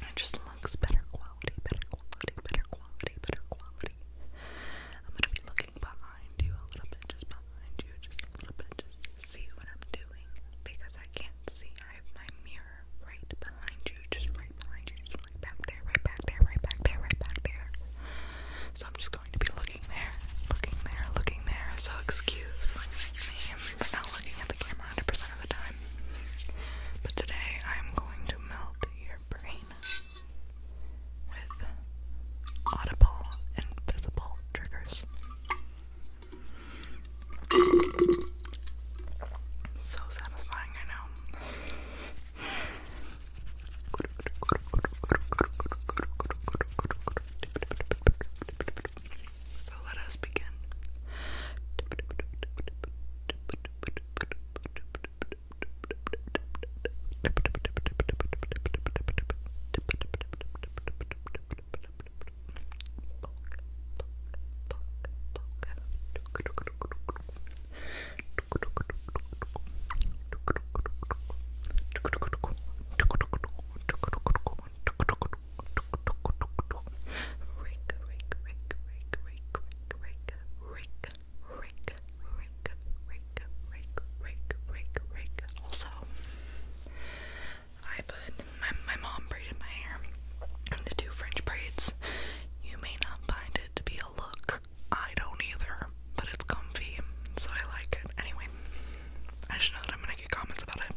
It just looks better quality, better quality, better quality, better quality. I'm gonna be looking behind you a little bit, just behind you, just a little bit, just see what I'm doing because I can't see. I have my mirror right behind you, just right behind you, just right back there, right back there, right back there, right back there. So I'm just going to be looking there, looking there, looking there. So excuse me for not looking at the camera 100% of the time. But today I'm going to melt your brain with audible, invisible triggers. So satisfying, I know. So let us begin. Rake, rake, rake, rake, rake, rake, rake, rake, rake, rake, rake, rake, rake, rake. Also, I put my my mom braided my hair into two French braids. You may not find it to be a look. I don't either, but it's comfy, so I like it. Anyway, I should know that I'm gonna get comments about it.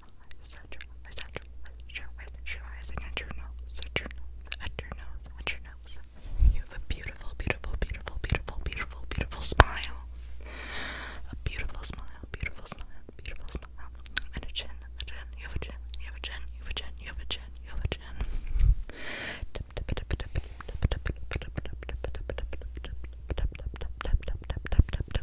eyes, at your eyes, at your eyes, at your eyes, at your eyes, and at your nose, at your nose, at your nose, at your nose. You have a beautiful, beautiful, beautiful, beautiful, beautiful, beautiful smile. A beautiful smile, beautiful smile, beautiful smile. And a chin, a chin, you have a chin, you have a chin, you have a chin, you have a chin, you have a chin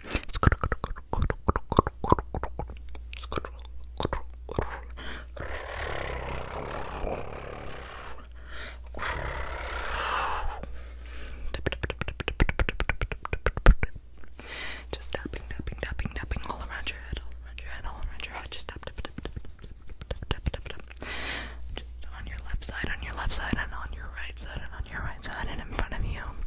Just tapping, tapping, tapping, tapping all around your head, all around your head, all around your head. Just tap, tap, tap, tap, tap, tap, tap, tap. Just on your left side, on your left side, and on your right side, and on your right side, and in front of you.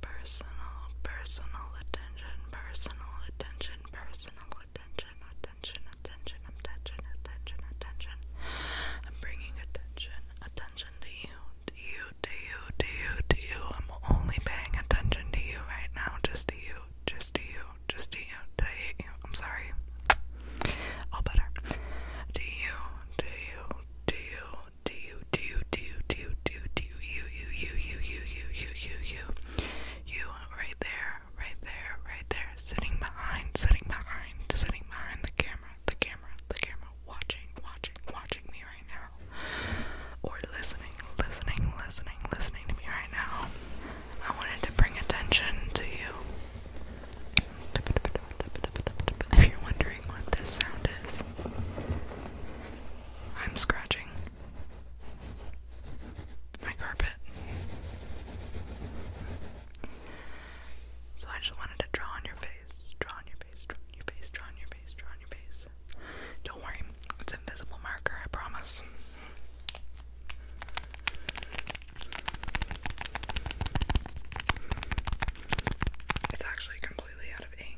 personal, personal, personal attention, personal attention, personal attention, attention, attention, attention, attention, attention. I'm bringing attention, attention to you, to you, to you, to you, to you. I'm only paying attention to you right now, just to you, just to you, just to you. Did I hit you? I'm sorry. All better. To you, to you, to you, do you do do do do do you you you you you you you you you you right there right there right there sitting behind sitting behind sitting behind the camera the camera the camera watching watching watching me right now or listening listening listening listening to me right now I wanted to bring attention to you if you're wondering what this sound is, I'm scratching my carpet. So I just wanted to draw on your face, draw on your face, draw on your face, draw on your face, draw on your face. Don't worry, it's invisible marker, I promise. It's actually completely out of aim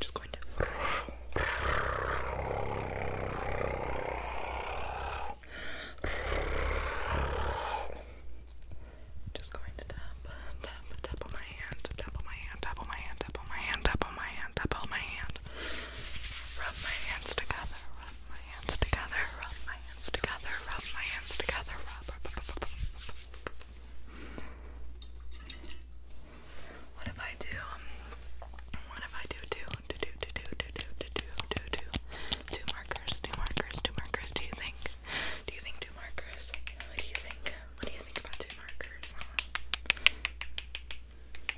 Just going to. Just going to tap, tap, tap on my hand, tap on my hand, tap on my hand, tap on my hand, tap on my hand, tap on my hand. Rub my hands together, rub my hands together, rub my hands together, rub my hands together, rub. What if I do? What if I do two, do do do do do do do do do two markers, two markers, two markers? Do you think? Do you think two markers? What do you think? What do you think about two markers?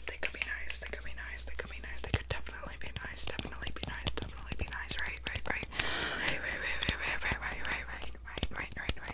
They could be nice. They could be nice. They could be nice. They could definitely be nice. Definitely be nice. Definitely be nice. right, right, right, right, right, right, right, right, right, right, right, right, right,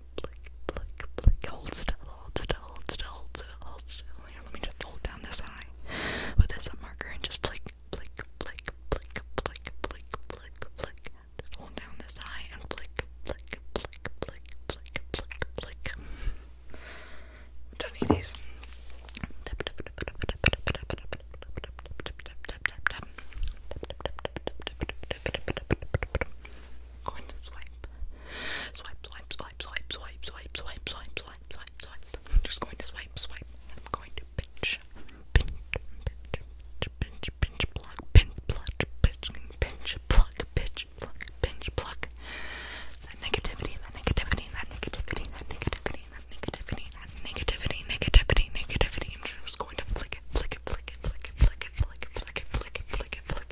Hold let me just hold down this eye with this marker and just blink, blink, blink, blink, blink, blink, blink, blink. hold down this eye and blink, blink, blink, blink, blink, blink, blink. Don't need these. Go on and swipe. Swipe, swipe, swipe, swipe, swipe, swipe, swipe, swipe, swipe, swipe, swipe. I'm just going to swipe, swipe. I'm going to pinch, pinch, pinch, pinch, pinch, pluck, pinch, pluck, pinch, pinch, pluck, pinch, pluck, pinch, pluck. That negativity, that negativity, that negativity, that negativity, that negativity, that negativity, negativity, negativity. I'm just going to flick it, flick it, flick it, flick it, flick it, flick it, flick it, flick it, flick it, flick it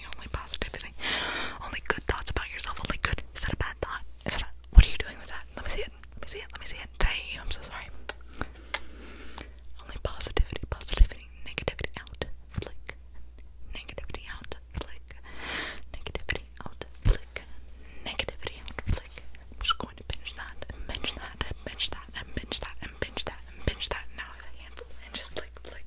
positivity, only positivity, only good thoughts about yourself, only good. Is that a bad thought? Is that a, what are you doing with that? Let me see it. Let me see it. Let me see it. Did I hate you? I'm so sorry. Only positivity, positivity, negativity out, flick, negativity out, flick, negativity out, flick, negativity out, flick. I'm just going to pinch that, and pinch that, and pinch that, and pinch that, and pinch that, and pinch that. Now I have a handful and just flick, flick,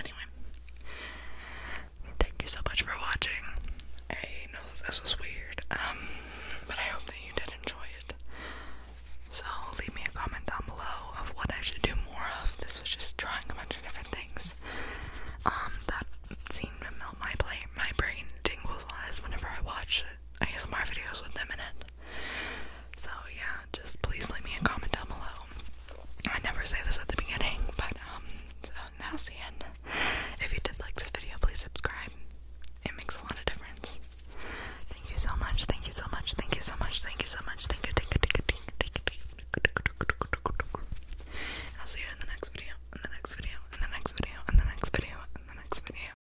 Anyway, thank you so much for watching. I know this was weird, um, but I hope that you did enjoy it. So leave me a comment down below of what I should do more of. This was just trying a bunch of different things. Um, that scene will melt my play my brain tingles wise whenever I watch ASMR videos with them in it. So yeah, just please leave me a comment down below. I never say this at the beginning, but um, so now's the end. If you did like this video, please subscribe. It makes a lot of difference. Thank you so much. Thank you so much. Thank you so much. Thank you so much. Thank you. I'll see you in the next video. In the next video. In the next video. In the next video. In the next video.